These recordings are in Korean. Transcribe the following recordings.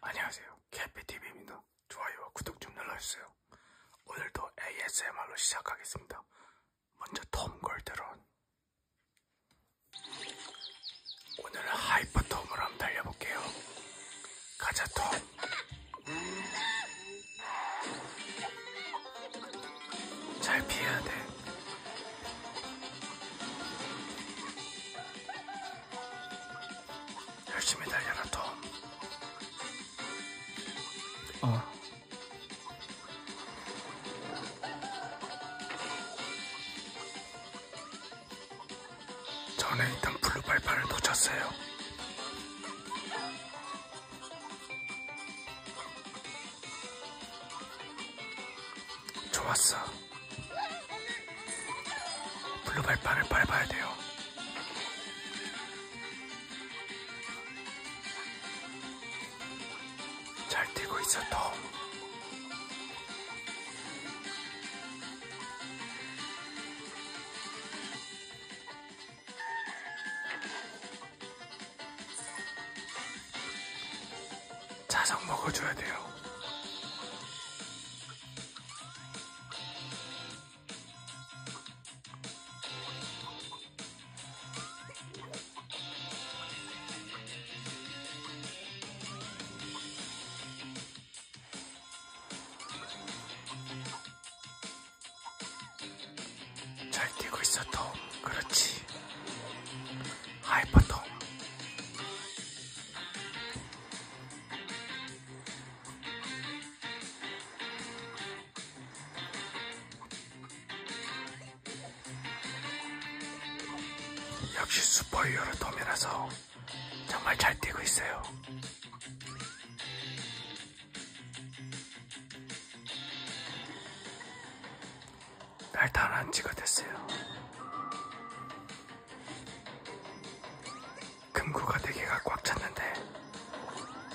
안녕하세요 캐피TV입니다 좋아요와 구독 좀 눌러주세요 오늘도 ASMR로 시작하겠습니다 먼저 톰골드론 오늘은 하이퍼톰으로 한번 달려볼게요 가자 톰잘 피해야 돼 열심히 달려라 톰. 어. 전에 있던 블루발판을 놓쳤어요. 좋았어. 블루 발판을 밟아야 돼요. 잘 뛰고 있어, 톰. 자석 먹어줘야 돼요. 잘 뛰고 있어 톰 그렇지 하이퍼 톰 역시 슈퍼히어로 톰이라서 정말 잘 뛰고 있어요. 날다한 지가 됐어요. 금고가 4개가 꽉 찼는데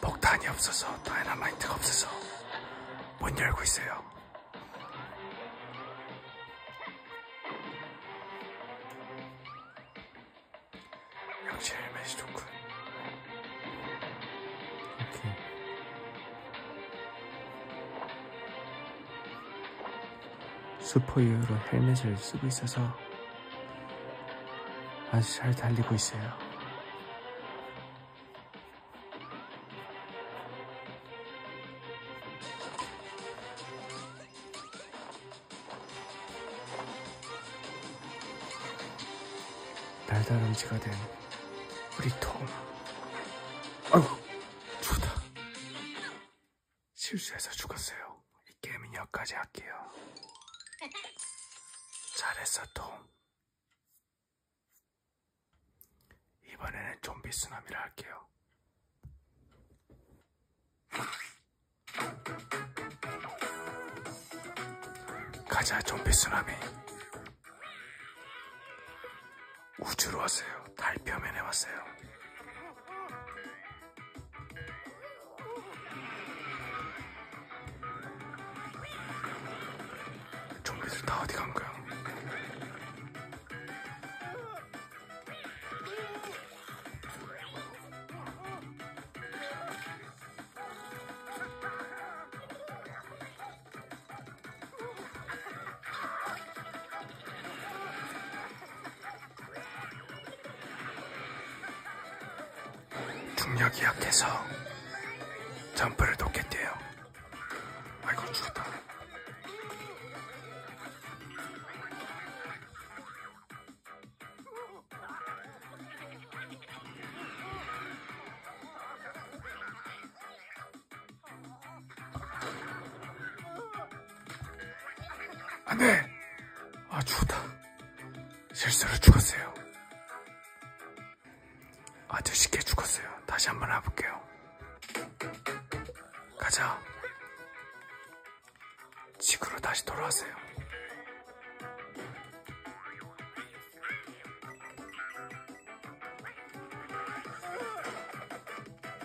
폭탄이 없어서 다이너마이트가 없어서 못 열고 있어요 역시 헬멧이 좋군 오케이. 스포 이후로 헬멧을 쓰고 있어서 아주 잘 달리고 있어요. 달다람쥐가 된 우리 톰. 아우, 좋다. 실수해서 죽었어요. 이 게임은 여기까지 할게요. 잘했어, 톰. 이번에는 좀비 쓰나미를 할게요. 가자, 좀비 쓰나미. 우주로 왔어요. 달 표면에 왔어요. 좀비들 다 어디 간 거야? 중력이 약해서 점프를 돕겠대요. 아이고 죽었다. 안돼. 아 죽었다. 실수로 죽었어요. 아주 쉽게 죽었어요. 다시 한번 해볼게요. 가자. 지구로 다시 돌아왔어요.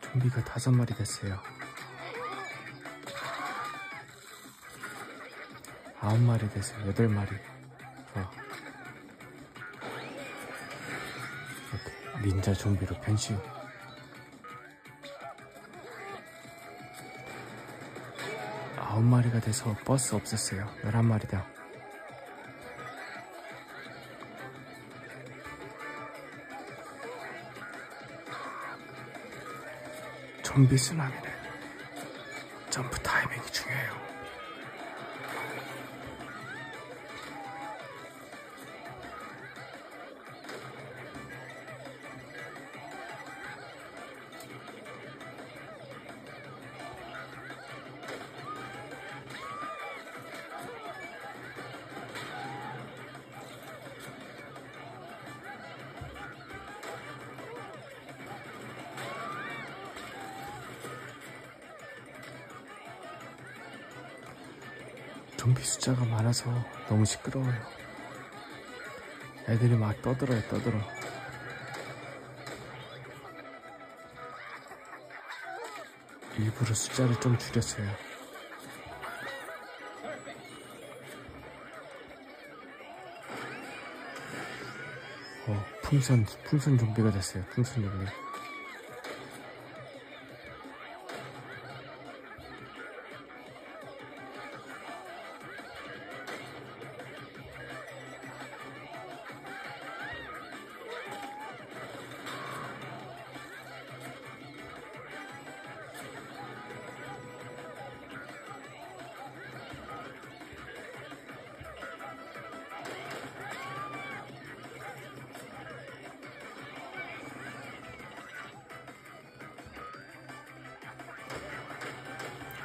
좀비가 다섯 마리 됐어요. 아홉 마리 됐어요. 여덟 마리. 어. 이렇게 닌자 좀비로 변신. 아홉 마리가 돼서 버스 없었어요. 열한 마리다. 좀비 순항에는 점프 타이밍이 중요해요. 좀비 숫자가 많아서 너무 시끄러워요. 애들이 막 떠들어요, 떠들어. 일부러 숫자를 좀 줄였어요. 어, 풍선, 풍선 좀비가 됐어요. 풍선 좀비.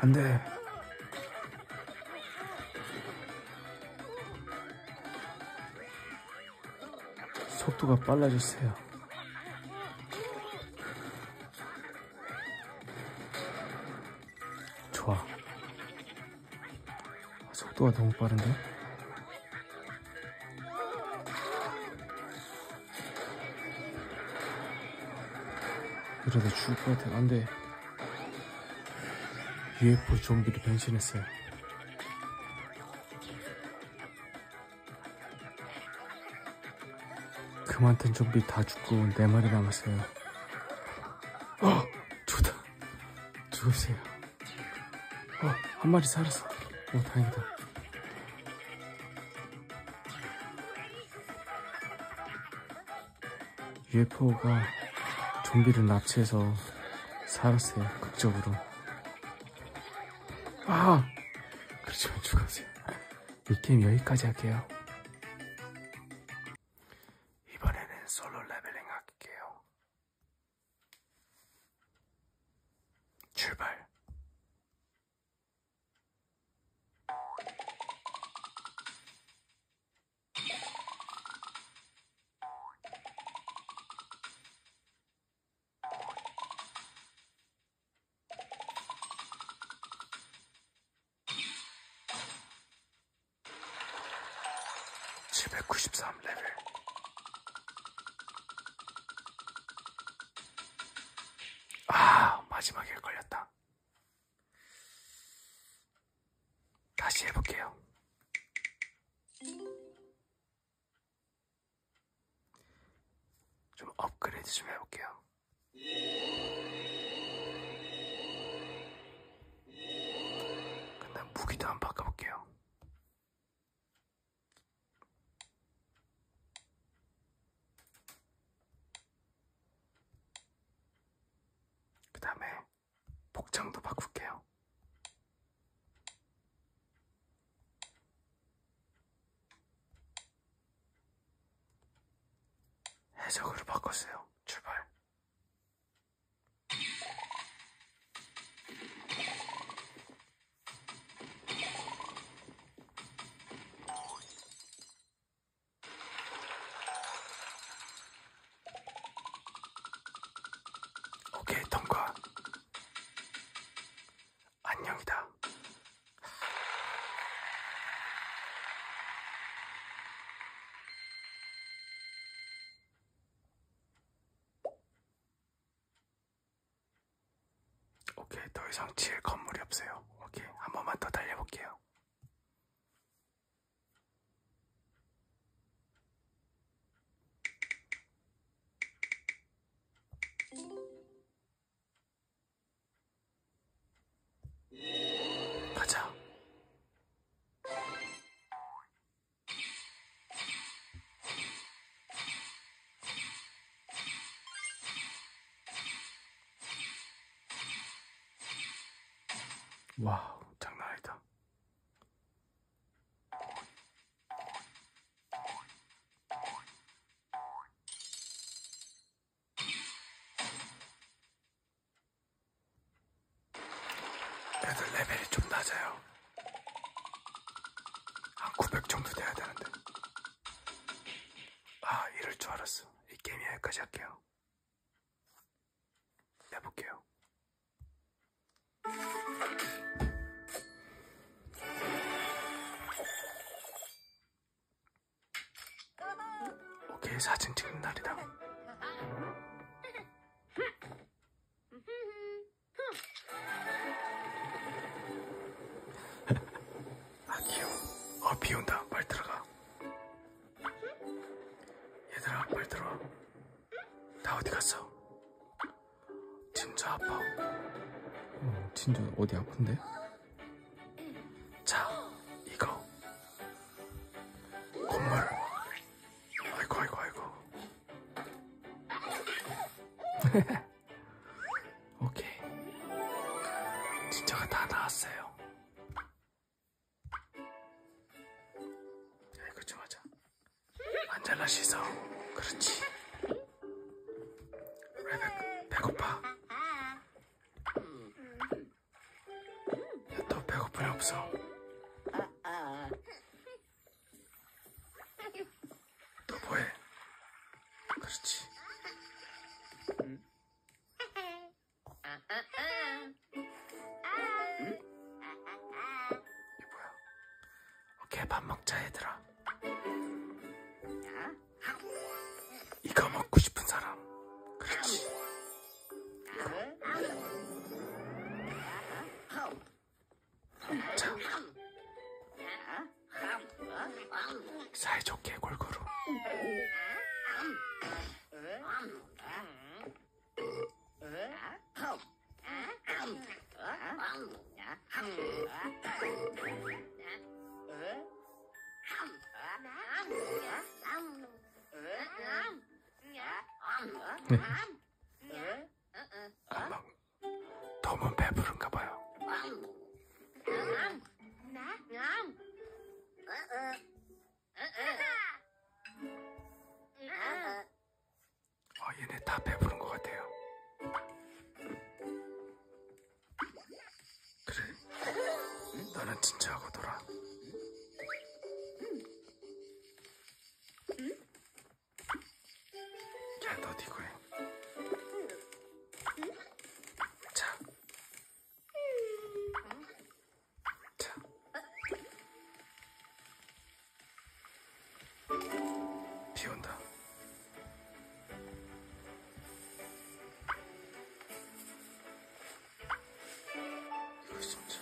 안 돼. 속도가 빨라졌어요. 좋아. 속도가 너무 빠른데? 이러다 죽을 것 같아. 안 돼. UFO 좀비로 변신했어요. 그 많던 좀비 다 죽고 네 마리 남았어요. 어, 두다 죽었어요. 어, 한 마리 살았어. 오, 어, 다행이다. UFO가 좀비를 납치해서 살았어요 극적으로 아 그렇지만 죽었어요 이 게임 여기까지 할게요 이번에는 솔로 레벨링 할게요 출발 793레벨 아 마지막에 걸렸다 다시 해볼게요. 좀 업그레이드 좀 해볼게요. 근데 무기도 한번 바꿔볼게요. 그 다음에 복장도 바꿀게요. 해적으로 바꿨어요. 출발. 오케이 통과 안녕이다 오케이 더 이상 칠 건물이 없어요 오케이 한 번만 더 달려볼게요 가자. 와 장난 아니다 애들 레벨이 좀 낮아요 한 900 정도 돼야 되는데 아 이럴 줄 알았어 이 게임 여기까지 할게요 해볼게요. 오케이, 사진 찍는 날이다. 아 귀여워. 아 비온다. 빨리 들어가. 얘들아 빨리 들어와 다 어디 갔어? 진짜 아파 어, 진짜 어디 아픈데? 자 이거 건물 아이고 아이고 아이고 오케이 진짜가 다 나왔어요 야, 그렇죠 맞아 안 잘라 씻어 그렇지 왜 배, 배고파 야, 너 배고픈 애 없어 너 뭐해 그렇지 응? 이게 뭐야? 오케이 밥 먹자 얘들아. 이거 먹고 싶은 사람. 그렇지. 자. 사이좋게 골고루. 안녕. 너무 배부른가 봐요. 아, 얘네 다 배부른 것 같아요. 그래. 나는 진짜 하고 돌아. 야, 너 니고 해. 자, 비 온다. 이거 진짜.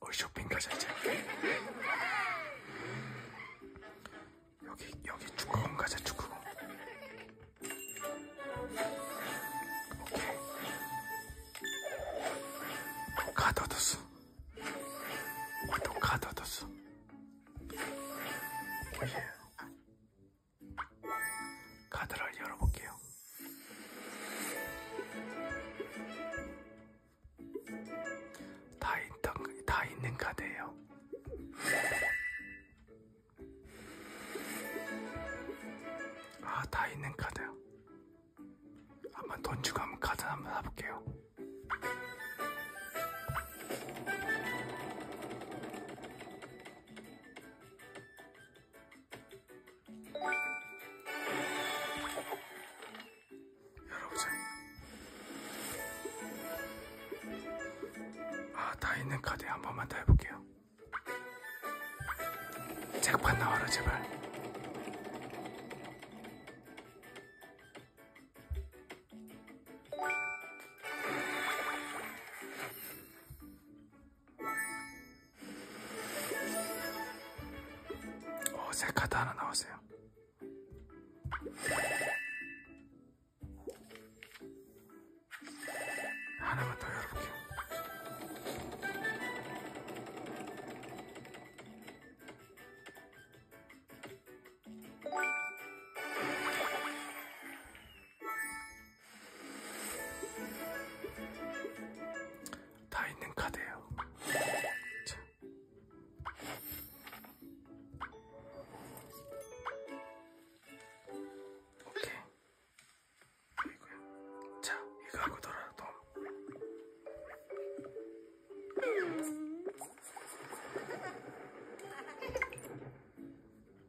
우리 쇼핑 가자 이제 여기 여기 축구공 가자 축구공 오케이 가둬뒀어 어, 또 가둬뒀어 오예 어, 카드를 열어볼게요. 다, 있던, 다 있는 카드예요. 아, 다 있는 카드요. 한번 돈 주고 한번 카드 한번 사볼게요. 열어보자 아다 있는 카드에 한 번만 더 해볼게요 잭판 나와라 제발 어, 새 카드 하나 나왔어요. 하나만 더 열어볼게요. 다 있는 카드예요. 자. 오케이. 이거요. 자, 이거 하고 돌아 돔.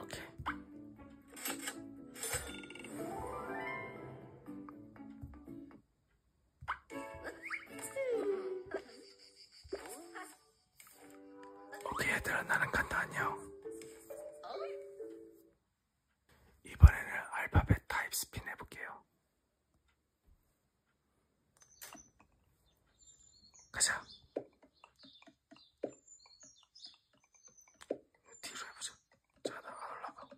오케이. 오케이 얘들아 나는 간다 안녕 이번에는 알파벳 타입 스핀 해볼게요 가자. 뒤로 해보자. 자, 나안 올라가.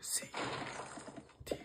C, D.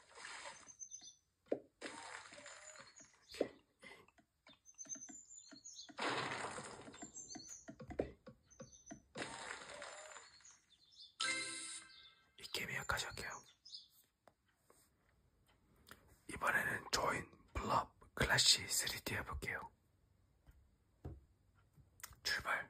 이게 미약하지 않게요. 이번에는 조인 블럽 클래시 3D 해볼게요. 출발.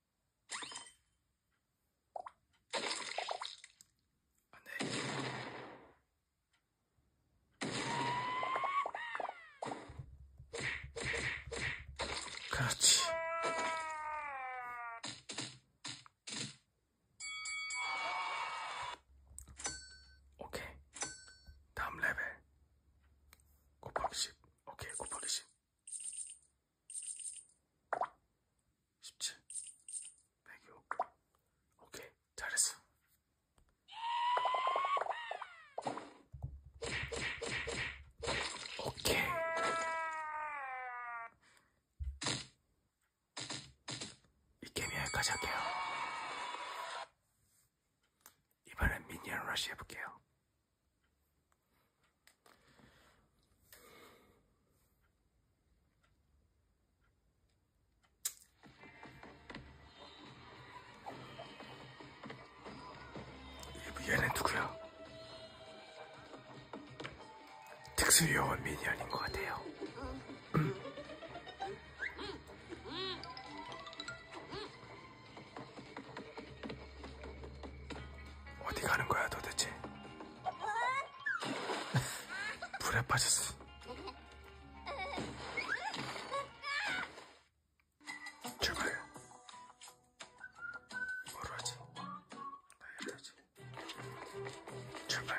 그렇지. 오케이. 다음 레벨. 곱하기 10. 오케이, 곱하기 10. 17 105 오케이 잘했어 오케이 이 게임 여기까지 할게요 이번엔 미니언 러시 해볼게요. 얘는 누구야? 특수요원 미니언인 것 같아요. 음. 어디 가는 거야 도대체? 불에 빠졌어. 출발. 뭐로 하지? 다이어트 하지. 출발.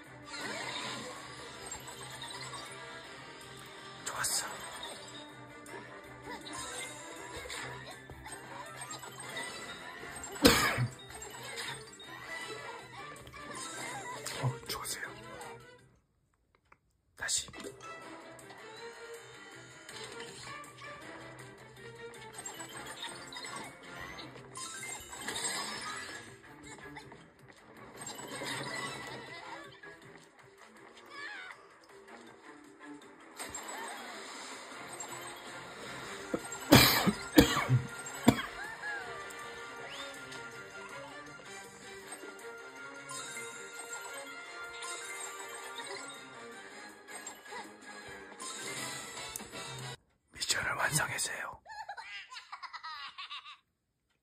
좋았어. 어, 좋으세요. 다시. 미션을 완성했어요.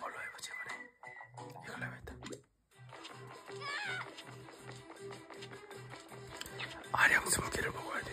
뭘로 해보지 이번에 이걸로 해야겠다 아령 스무 개를 먹어야 돼요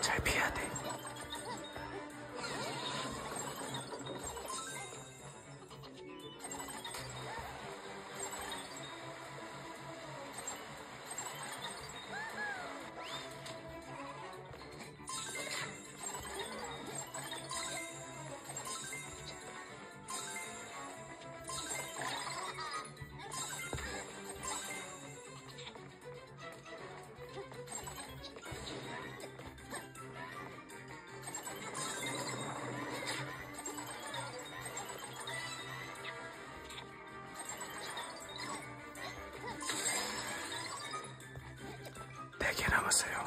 잘 피해야 돼. 4개 남았어요.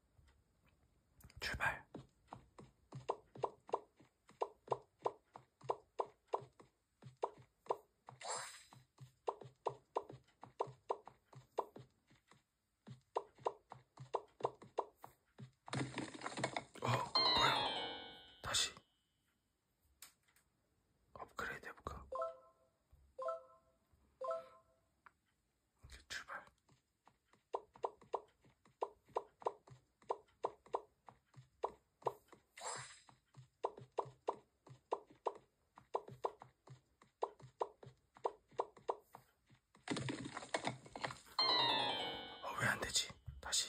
출발. 어, 뭐야? 다시 업그레이드 해볼까? 이제 출발. 어, 왜 안 되지? 다시.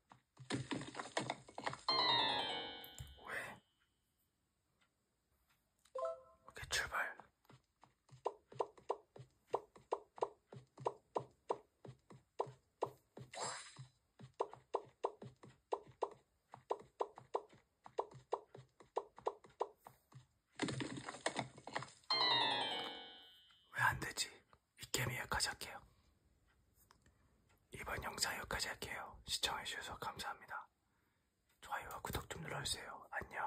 왜? 오케이, 출발. 왜 안 되지? 이캠 여기까지 할게요. 이번 영상 여기까지 할게요. 시청해주셔서 감사합니다. 좋아요와 구독 좀 눌러주세요. 안녕.